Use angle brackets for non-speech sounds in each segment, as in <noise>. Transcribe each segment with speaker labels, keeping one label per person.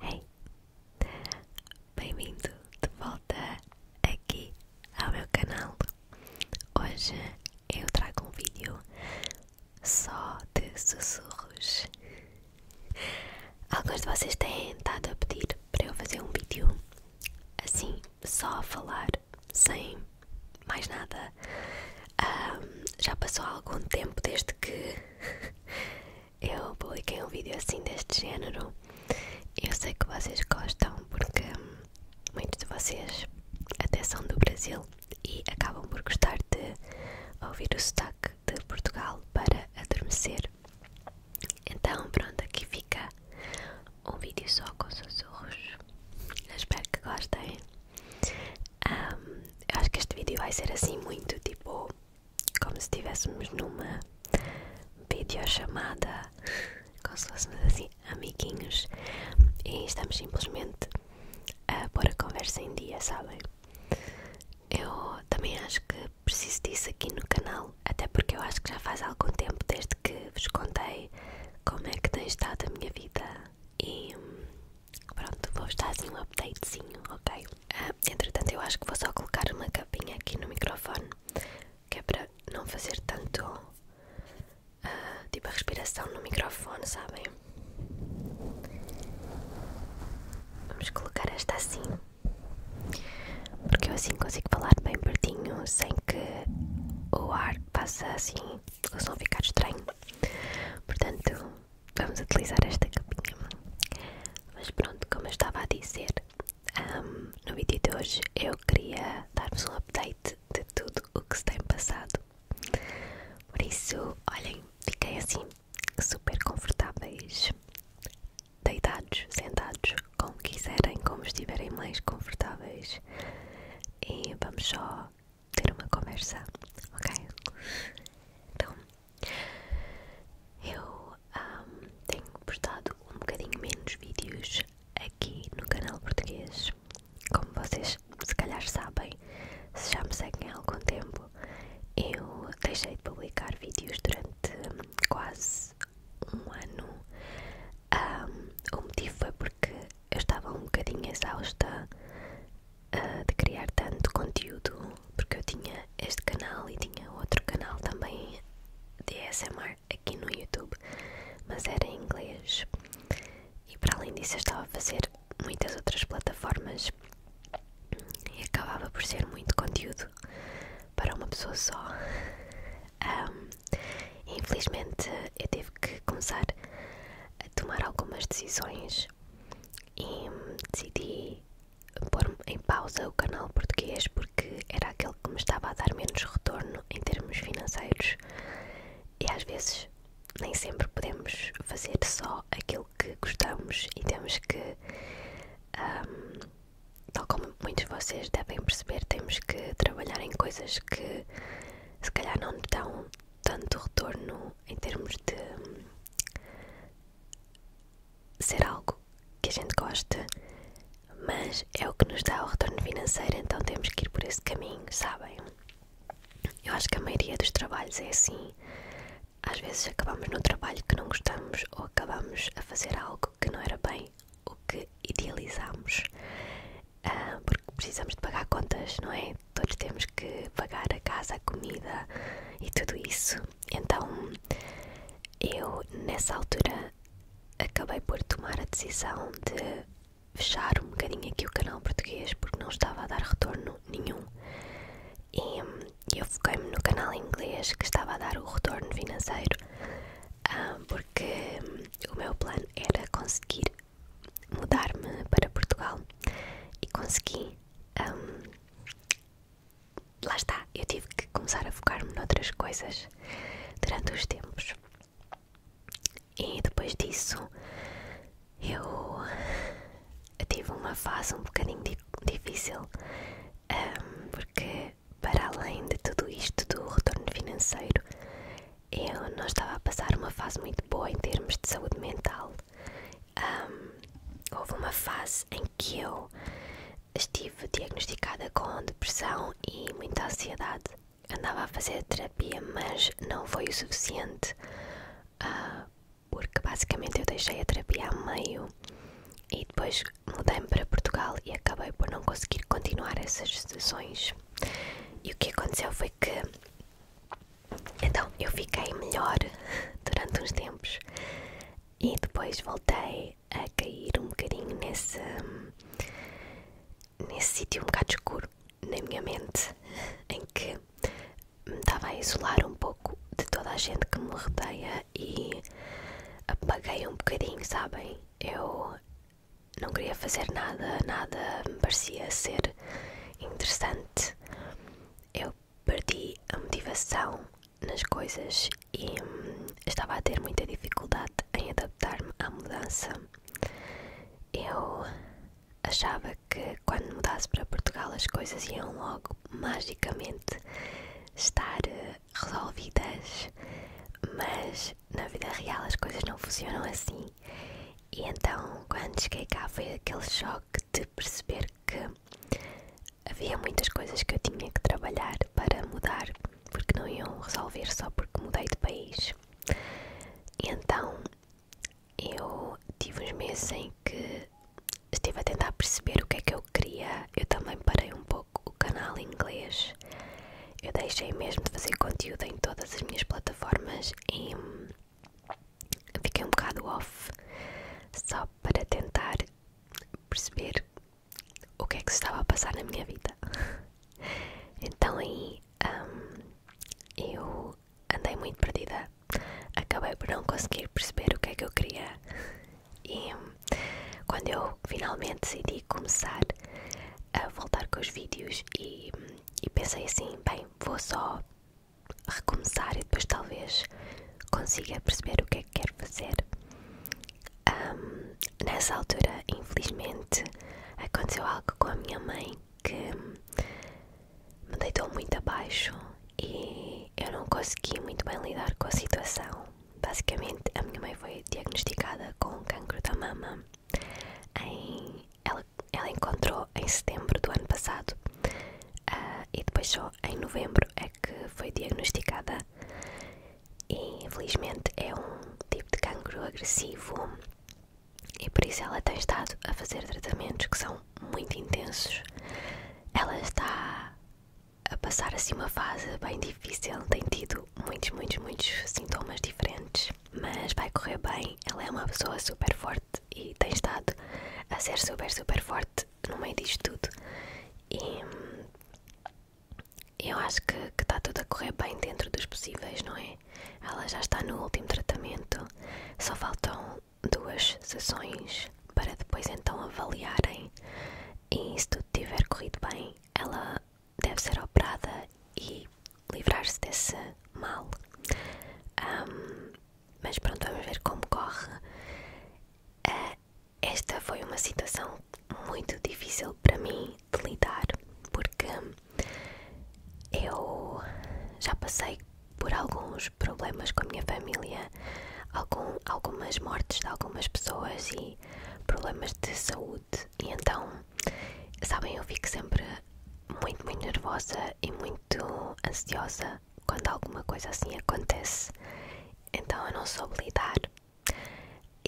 Speaker 1: Hey! Bem-vindo de volta aqui ao meu canal. Hoje eu trago um vídeo só de sussurros. Alguns de vocês têm estado a pedir para eu fazer um vídeo assim, só a falar, sem mais nada. já passou algum tempo desde que eu publiquei um vídeo assim deste género. Eu sei que vocês gostam porque muitos de vocês até são do Brasil e acabam por gostar de ouvir o sotaque de Portugal para adormecer. Então, pronto, aqui fica um vídeo só com sussurros. Eu espero que gostem. eu acho que este vídeo vai ser assim muito tipo como se estivéssemos numa videochamada, como se fôssemos assim amiguinhos e estamos simplesmente a pôr a conversa em dia, sabem? Eu também acho que preciso disso aqui no canal, até porque eu acho que já faz algum tempo desde que vos contei como é que tem estado a minha vida e hum, Pronto, vou estar assim um updatezinho, ok? Ah, entretanto, eu acho que vou só colocar uma capinha aqui no microfone que é para não fazer tanto ah, tipo a respiração no microfone, sabem? Vamos colocar esta assim porque eu assim consigo falar bem pertinho sem que o ar passe assim, o som ficar estranho. Portanto, vamos utilizar esta capinha. Mas pronto, como eu estava a dizer, hum, no vídeo de hoje eu queria dar-vos um update de tudo o que se tem passado. Por isso, olhem, fiquei assim, super confortáveis, deitados, sentados, como quiserem, como estiverem mais confortáveis. E vamos só ter uma conversa, ok? Então, eu tenho postado um bocadinho menos vídeos aqui no canal português. Como vocês se calhar sabem, se já me seguem há algum tempo, eu deixei de publicar vídeos durante quase um ano. o motivo foi porque eu estava um bocadinho exausta eh, de criar tanto conteúdo, porque eu tinha este canal e tinha outro canal também de ASMR aqui no YouTube, mas era em inglês. E para além disso, eu estava a fazer muitas outras plataformas e acabava por ser muito conteúdo para uma pessoa só. infelizmente, eu tive que começar a tomar algumas decisões e decidi pôr em pausa o canal português porque era aquele que me estava a dar menos retorno em termos financeiros e às vezes nem sempre podemos fazer só aquilo que gostamos e temos que, tal como muitos de vocês devem perceber, temos que trabalhar em coisas que se calhar não estão tanto retorno em termos de ser algo que a gente gosta, mas é o que nos dá o retorno financeiro, então temos que ir por esse caminho, sabem? Eu acho que a maioria dos trabalhos é assim. Às vezes acabamos no trabalho que não gostamos ou acabamos a fazer algo que não era bem o que idealizámos, ah, porque precisamos de pagar contas, não é? todos temos que pagar a casa, a comida e tudo isso. Então eu, nessa altura, acabei por tomar a decisão de fechar um bocadinho aqui o canal português porque não estava a dar retorno nenhum. E eu foquei-me no canal inglês que estava a dar o retorno financeiro ah, porque o meu plano era conseguir mudar-me para Portugal e consegui. Hum, lá está, eu tive que começar a focar-me noutras coisas durante os tempos. E depois disso, eu, tive uma fase um bocadinho difícil, hum, porque para além de tudo isto do retorno financeiro, eu não estava a passar uma fase muito boa em termos de saúde mental houve uma fase em que eu estive diagnosticada com depressão e muita ansiedade. Andava a fazer terapia, mas não foi o suficiente, ah, porque basicamente eu deixei a terapia a meio e depois mudei-me para Portugal e acabei por não conseguir continuar essas sessões. E o que aconteceu foi que então eu fiquei melhor <laughs> durante uns tempos e depois voltei a cair um bocadinho nesse nesse sítio um bocado escuro na minha mente <laughs> em que me estava a isolar um pouco de toda a gente que me rodeia e apaguei um bocadinho, sabem? Eu não queria fazer nada, nada me parecia ser interessante. Eu perdi a motivação nas coisas e hum, estava a ter muita dificuldade em adaptar-me à mudança. Eu achava que quando mudasse para Portugal as coisas iam logo magicamente estar eh, resolvidas, mas na vida real as coisas não funcionam assim e então, quando cheguei cá, foi aquele choque de perceber que havia muitas coisas que eu tinha que trabalhar para mudar, porque não iam resolver só porque mudei de país. então, eu tive uns meses em que estive a tentar perceber o que é que eu queria. Eu também parei um pouco o canal em inglês. Eu deixei mesmo de fazer conteúdo em todas as minhas plataformas e hum, fiquei um bocado off só para tentar perceber o que é que se estava a passar na minha vida. Então aí hum, eu andei muito perdida, acabei por não conseguir perceber o que é que eu queria e hum, quando eu finalmente decidi começar a voltar com os vídeos e, hum, pensei assim, bem, vou só recomeçar e depois talvez consiga perceber o que é que quero fazer. nessa altura, infelizmente, aconteceu algo com a minha mãe que me deitou muito abaixo e eu não consegui muito bem lidar com a situação. Basicamente, a minha mãe foi diagnosticada com cancro da mama ela, encontrou em setembro do ano passado ah, e depois só em novembro é que foi diagnosticada. E infelizmente é um tipo de cancro agressivo e por isso ela tem estado a fazer tratamentos que são muito intensos. Ela está a passar assim uma fase bem difícil, tem tido muitos, muitos, muitos sintomas diferentes mas vai correr bem. Ela é uma pessoa super forte e tem estado a ser super, super forte no meio disto tudo. E eu acho que está tudo a correr bem dentro dos possíveis, não é? Ela já está no último tratamento, só faltam duas sessões para depois então avaliarem. E se tudo tiver corrido bem, ela deve ser operada e livrar-se desse mal. mas pronto, vamos ver como corre. Ah, esta foi uma situação muito difícil para mim de lidar, porque eu já passei por alguns problemas com a minha família, algumas mortes de algumas pessoas e problemas de saúde e então, sabem, eu fico sempre muito, muito nervosa e muito ansiosa quando alguma coisa assim acontece. Então eu não soube lidar.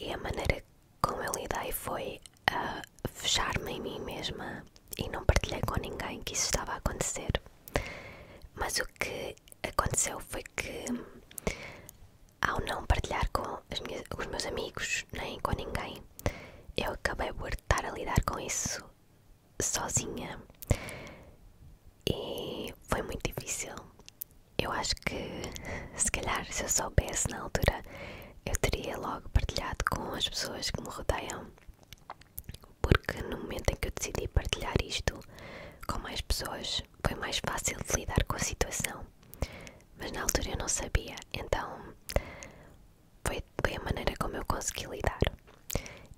Speaker 1: E a maneira como eu lidei foi a fechar-me em mim mesma e não partilhar com ninguém que isso estava a acontecer. Mas o que aconteceu foi que, ao não partilhar com os meus amigos nem com ninguém, eu acabei por estar a lidar com isso sozinha e foi muito difícil. Eu acho que se calhar se eu soubesse na altura eu teria logo partilhado com as pessoas que me rodeiam, porque no momento em que eu decidi partilhar isto com mais pessoas foi mais fácil de lidar com a situação, mas na altura eu não sabia, então foi, foi a maneira como eu consegui lidar.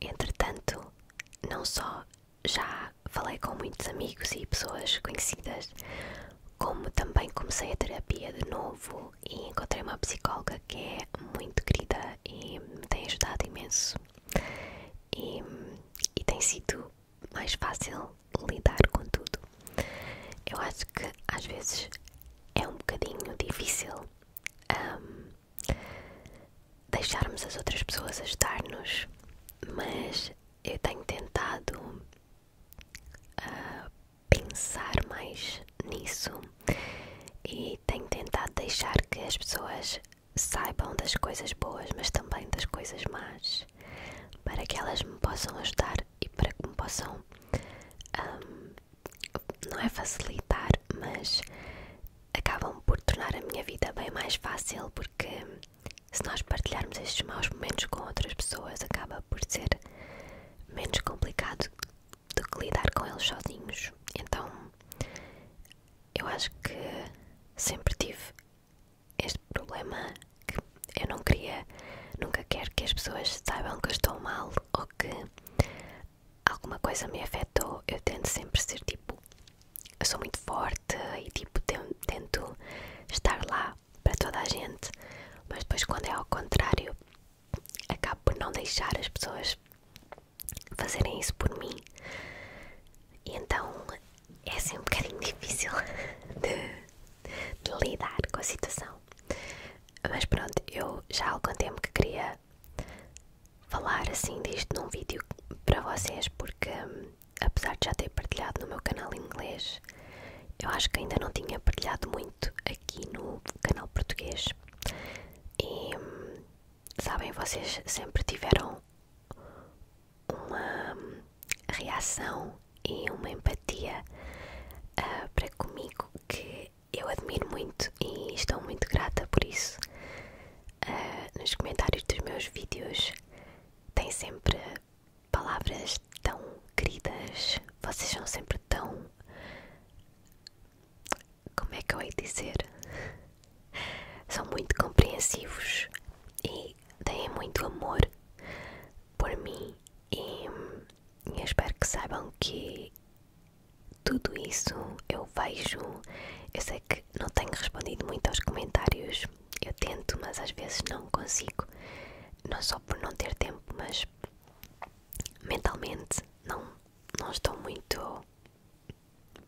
Speaker 1: Entretanto, não só já falei com muitos amigos e pessoas conhecidas, como também comecei a terapia de novo e encontrei uma psicóloga que é muito querida e me tem ajudado imenso. E, e tem sido mais fácil lidar com tudo. Eu acho que às vezes é um bocadinho difícil hum, deixarmos as outras pessoas ajudar-nos, mas eu tenho tentado ah, pensar mais nisso e tenho tentado deixar que as pessoas saibam das coisas boas, mas também das coisas más, para que elas me possam ajudar e para que me possam, não é facilitar, mas acabam por tornar a minha vida bem mais fácil, porque se nós partilharmos estes maus momentos com outras pessoas, acaba por ser menos complicado do que lidar com eles sozinhos. Então, eu acho que sempre tive este problema que eu não queria, nunca quero que as pessoas saibam que eu estou mal ou que alguma coisa me afetou. Eu tento sempre ser tipo, eu sou muito forte e tipo tento estar lá para toda a gente, mas depois quando é ao contrário, acabo por não deixar as pessoas fazerem isso por mim. E então é assim um bocadinho <laughs> difícil de lidar com a situação. Mas pronto, eu já há algum tempo que queria falar assim disto num vídeo para vocês, porque hum, apesar de já ter partilhado no meu canal inglês, eu acho que ainda não tinha partilhado muito aqui no canal português. E hum, sabem, vocês sempre tiveram uma hum, reação e uma empatia ah, para comigo que eu admiro muito e estou muito grata por isso. Ah, nos comentários dos meus vídeos tem sempre palavras tão queridas, vocês são sempre tão. Como é que eu hei de dizer? São muito compreensivos e têm muito amor por mim e, e espero que saibam que tudo isso eu vejo. Eu sei que não tenho respondido muito aos comentários, eu tento, mas às vezes não consigo. Não só por não ter tempo, mas mentalmente não, não estou muito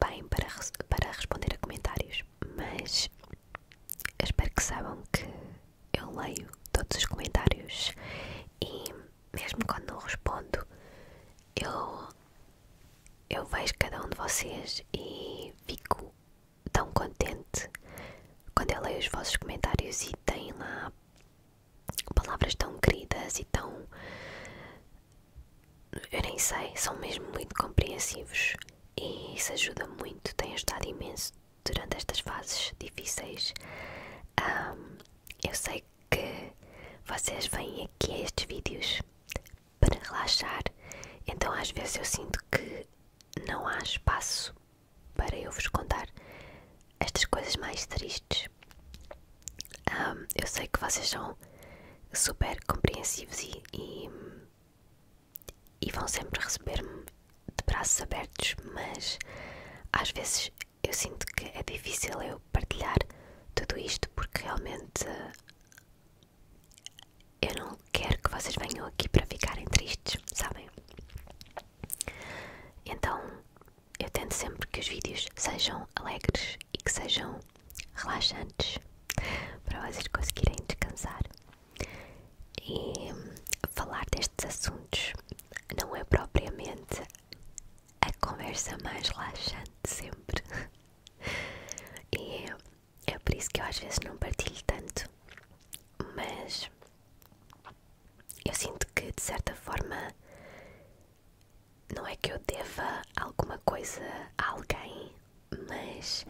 Speaker 1: bem para, para responder a comentários. Mas eu espero que saibam que eu leio todos os comentários e mesmo quando não respondo eu, eu vejo cada um de vocês e fico tão contente quando eu leio os vossos comentários e tem lá palavras tão queridas e tão eu nem sei, são mesmo muito compreensivos e isso ajuda muito, tem ajudado imenso durante estas fases difíceis. eu sei que vocês vêm aqui a estes vídeos para relaxar, então às vezes eu sinto que não há espaço para eu vos contar estas coisas mais tristes. eu sei que vocês são super compreensivos e e vão sempre receber-me de braços abertos, mas às vezes eu sinto que é difícil eu partilhar tudo isto porque realmente eu não quero que vocês venham aqui para ficarem tristes, sabem? Então eu tento sempre que os vídeos sejam alegres e que sejam relaxantes para vocês conseguirem descansar. E falar destes assuntos não é propriamente a conversa mais relaxante sempre. E é por isso que eu às vezes não partilho tanto. Mas eu sinto que de certa forma não é que eu deva alguma coisa a alguém, mas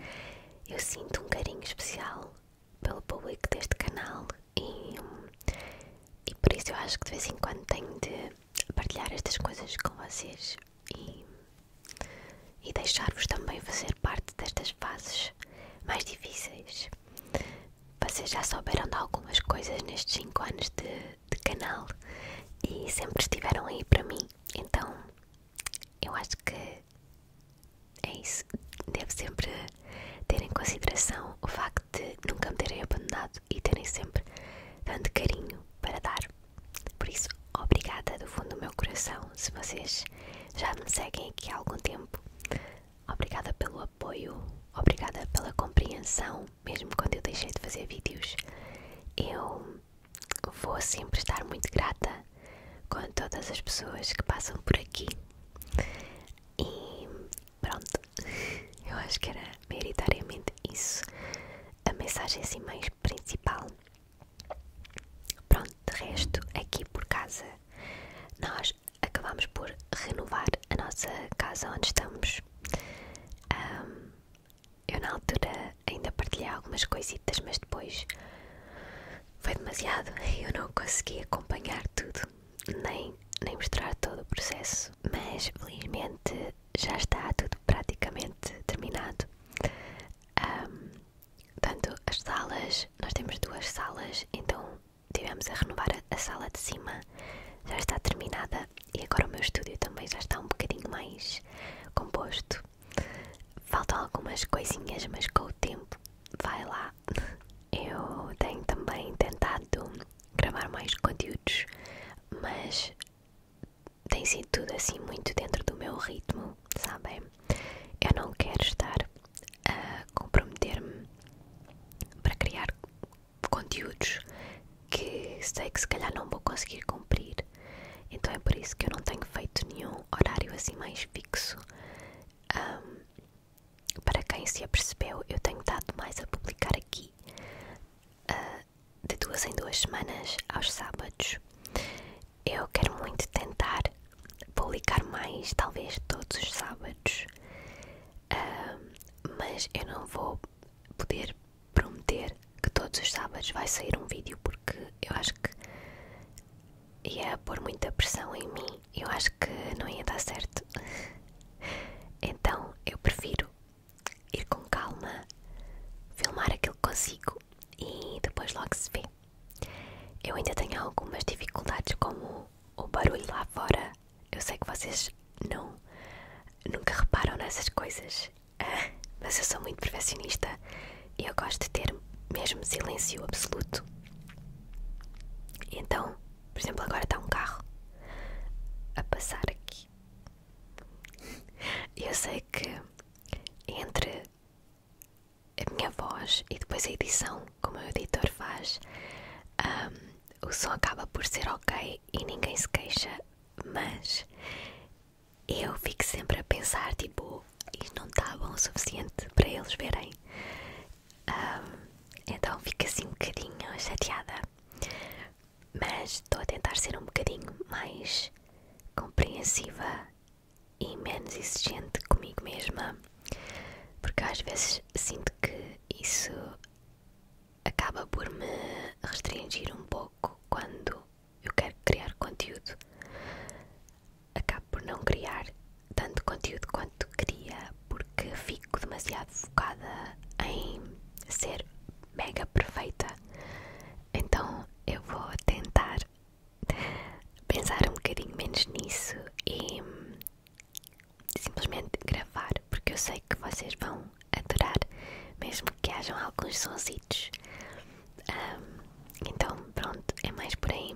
Speaker 1: eu sinto um carinho especial pelo público deste canal e, por isso eu acho que de vez em quando tenho de partilhar estas coisas com vocês e, e deixar-vos também fazer parte destas fases mais difíceis. Vocês já souberam de algumas coisas nestes 5 anos de, de canal e sempre estiveram aí para mim, então eu acho que é isso. Devo sempre ter em consideração o facto de nunca me terem abandonado e terem sempre tanto carinho para dar. Por isso, obrigada do fundo do meu coração se vocês já me seguem aqui há algum tempo. Obrigada pelo apoio, obrigada pela compreensão, mesmo quando eu deixei de fazer vídeos. Eu vou sempre estar muito grata com todas as pessoas que passam por aqui. E pronto, <laughs> eu acho que era meritariamente isso a mensagem assim mais principal. Pronto, de resto, aqui por casa, nós acabamos por renovar a nossa casa onde estamos. eu, na altura, ainda partilhei algumas coisitas, mas depois foi demasiado. <laughs> Eu não consegui acompanhar tudo, nem, nem mostrar todo o processo. Mas felizmente já está tudo praticamente terminado. Um, tanto as salas, nós temos duas salas, então tivemos a renovar a sala de cima, já está terminada e agora o meu estúdio também já está um bocadinho mais composto. Faltam algumas coisinhas, mas com o tempo vai lá. Eu tenho também tentado gravar mais conteúdos, mas tem sido tudo assim muito dentro do meu ritmo, sabem? Eu não quero estar a comprometer-me para criar conteúdos que sei que se calhar não vou conseguir cumprir então é por isso que eu não tenho feito nenhum horário assim mais fixo. para quem se apercebeu, eu tenho dado mais a publicar aqui ah, de duas em duas semanas aos sábados. Eu quero muito tentar publicar mais, talvez todos os sábados, mas eu não vou poder prometer que todos os sábados vai sair um vídeo porque eu acho que ia pôr muita pressão em mim, eu acho que não ia dar certo. Então eu prefiro ir com calma, filmar aquilo que consigo e depois logo se vê. Eu ainda tenho algumas dificuldades, como o barulho lá fora. Eu sei que vocês não, nunca reparam nessas coisas <laughs> mas eu sou muito perfeccionista e eu gosto de ter mesmo silêncio absoluto. então, por exemplo, agora está um carro a passar aqui. Eu sei que entre a minha voz e depois a edição, como o editor faz, hum, o som acaba por ser ok e ninguém se queixa, mas eu fico sempre a pensar, tipo, isto não está bom o suficiente para eles verem. Ah, então fico assim um bocadinho chateada. Mas estou a tentar ser um bocadinho mais compreensiva e menos exigente comigo mesma, porque às vezes sinto que isso acaba por me restringir um pouco quando eu quero criar conteúdo. Acabo por não criar tanto conteúdo quanto queria, porque fico demasiado focada em ser mega perfeita. Então eu vou tentar pensar um bocadinho menos nisso e simplesmente gravar, porque eu sei que vocês vão adorar, mesmo que hajam alguns sonsitos. então, pronto, é mais por aí.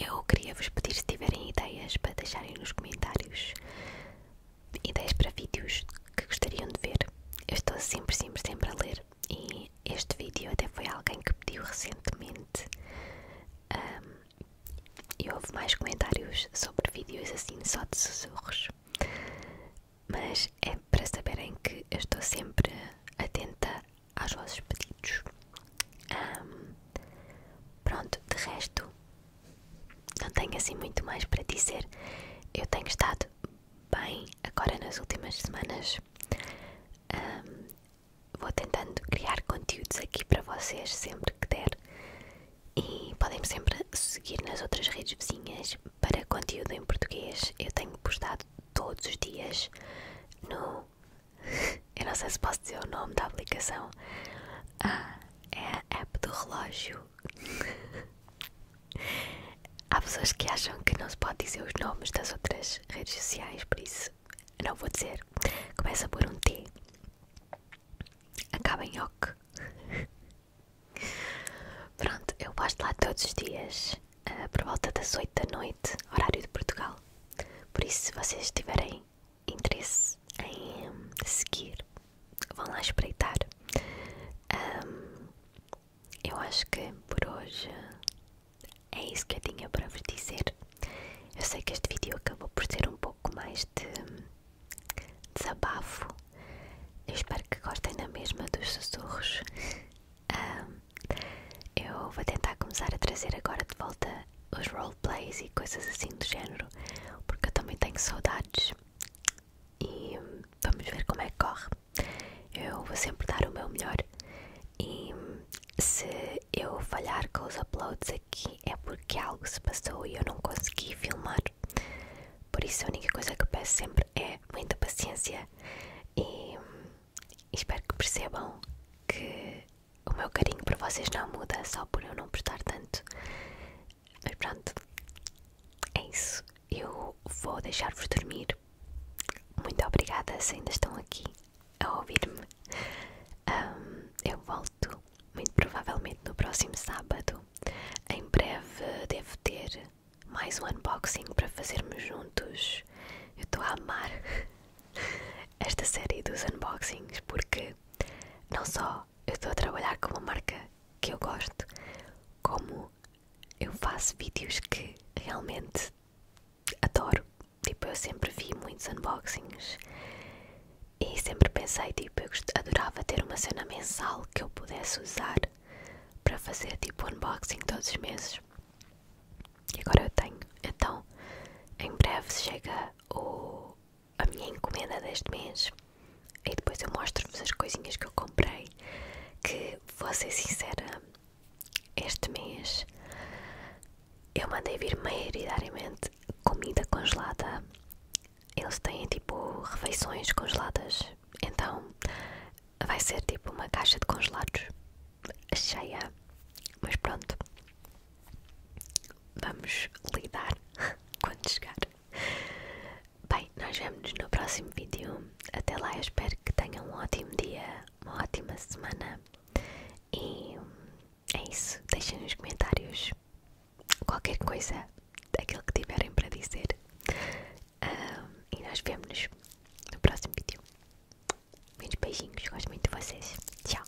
Speaker 1: Eu queria vos pedir se tiverem ideias para deixarem nos comentários ideias para vídeos que gostariam de ver. Eu estou sempre, sempre, sempre a ler. E este vídeo até foi alguém que pediu recentemente. e houve mais comentários sobre vídeos assim só de sussurros mas é para saberem que eu estou sempre atenta aos vossos pedidos. pronto, de resto, não tenho assim muito mais para dizer. Eu tenho estado bem agora nas últimas semanas. vou tentando criar conteúdos aqui para vocês sempre que der. E podem sempre seguir nas outras redes vizinhas para conteúdo em português eu tenho postado todos os dias no. <laughs> Eu não sei se posso dizer o nome da aplicação. Ah, é a app do relógio. <laughs> Há pessoas que acham que não se pode dizer os nomes das outras redes sociais, por isso não vou dizer. Começa por um T, acaba em OK. <laughs> Pronto, eu posto lá todos os dias, eh, por volta das 8 da noite, horário de Portugal. Por isso, se vocês tiverem interesse em hum, seguir, vão lá espreitar. Hum, eu acho que por hoje é isso que eu tinha para vos dizer. Eu sei que este vídeo acabou por ser um pouco mais de hum, desabafo eu espero que gostem na mesma dos sussurros. eu vou tentar começar a trazer agora de volta os roleplays e coisas assim do género, porque eu também tenho saudades. E vamos ver como é que corre. Eu vou sempre dar o meu melhor. E se eu falhar com os uploads aqui é porque algo se passou e eu não consegui filmar. Por isso, a única coisa que peço sempre é muita paciência e espero que percebam que o meu carinho para vocês não muda só por eu não prestar tanto. Mas pronto, é isso. Eu vou deixar-vos dormir. Muito obrigada se ainda estão aqui a ouvir-me. eu volto muito provavelmente no próximo sábado. Em breve devo ter mais um unboxing para fazermos juntos. Eu estou a amar <laughs> esta série dos unboxings porque não só eu estou a trabalhar com uma marca que eu gosto, como eu faço vídeos que realmente adoro. Tipo, eu sempre vi muitos unboxings e sempre pensei, tipo, eu adorava ter uma cena mensal que eu pudesse usar para fazer tipo unboxing todos os meses. E agora eu tenho. Então, em breve chega o, a minha encomenda deste mês. E depois eu mostro-vos as coisinhas que eu comprei. Que, vou ser sincera, este mês eu mandei vir maioritariamente comida congelada eles têm tipo refeições congeladas. Então vai ser tipo uma caixa de congelados cheia. Mas pronto, vamos lidar <laughs> quando chegar. Bem, nós vemos no próximo vídeo. Até lá, espero que tenham um ótimo dia, uma ótima semana. E é isso. Deixem nos comentários qualquer coisa daquilo que tiverem para dizer. e nós vemos no próximo vídeo. Muitos beijinhos, gosto muito de vocês. Tchau!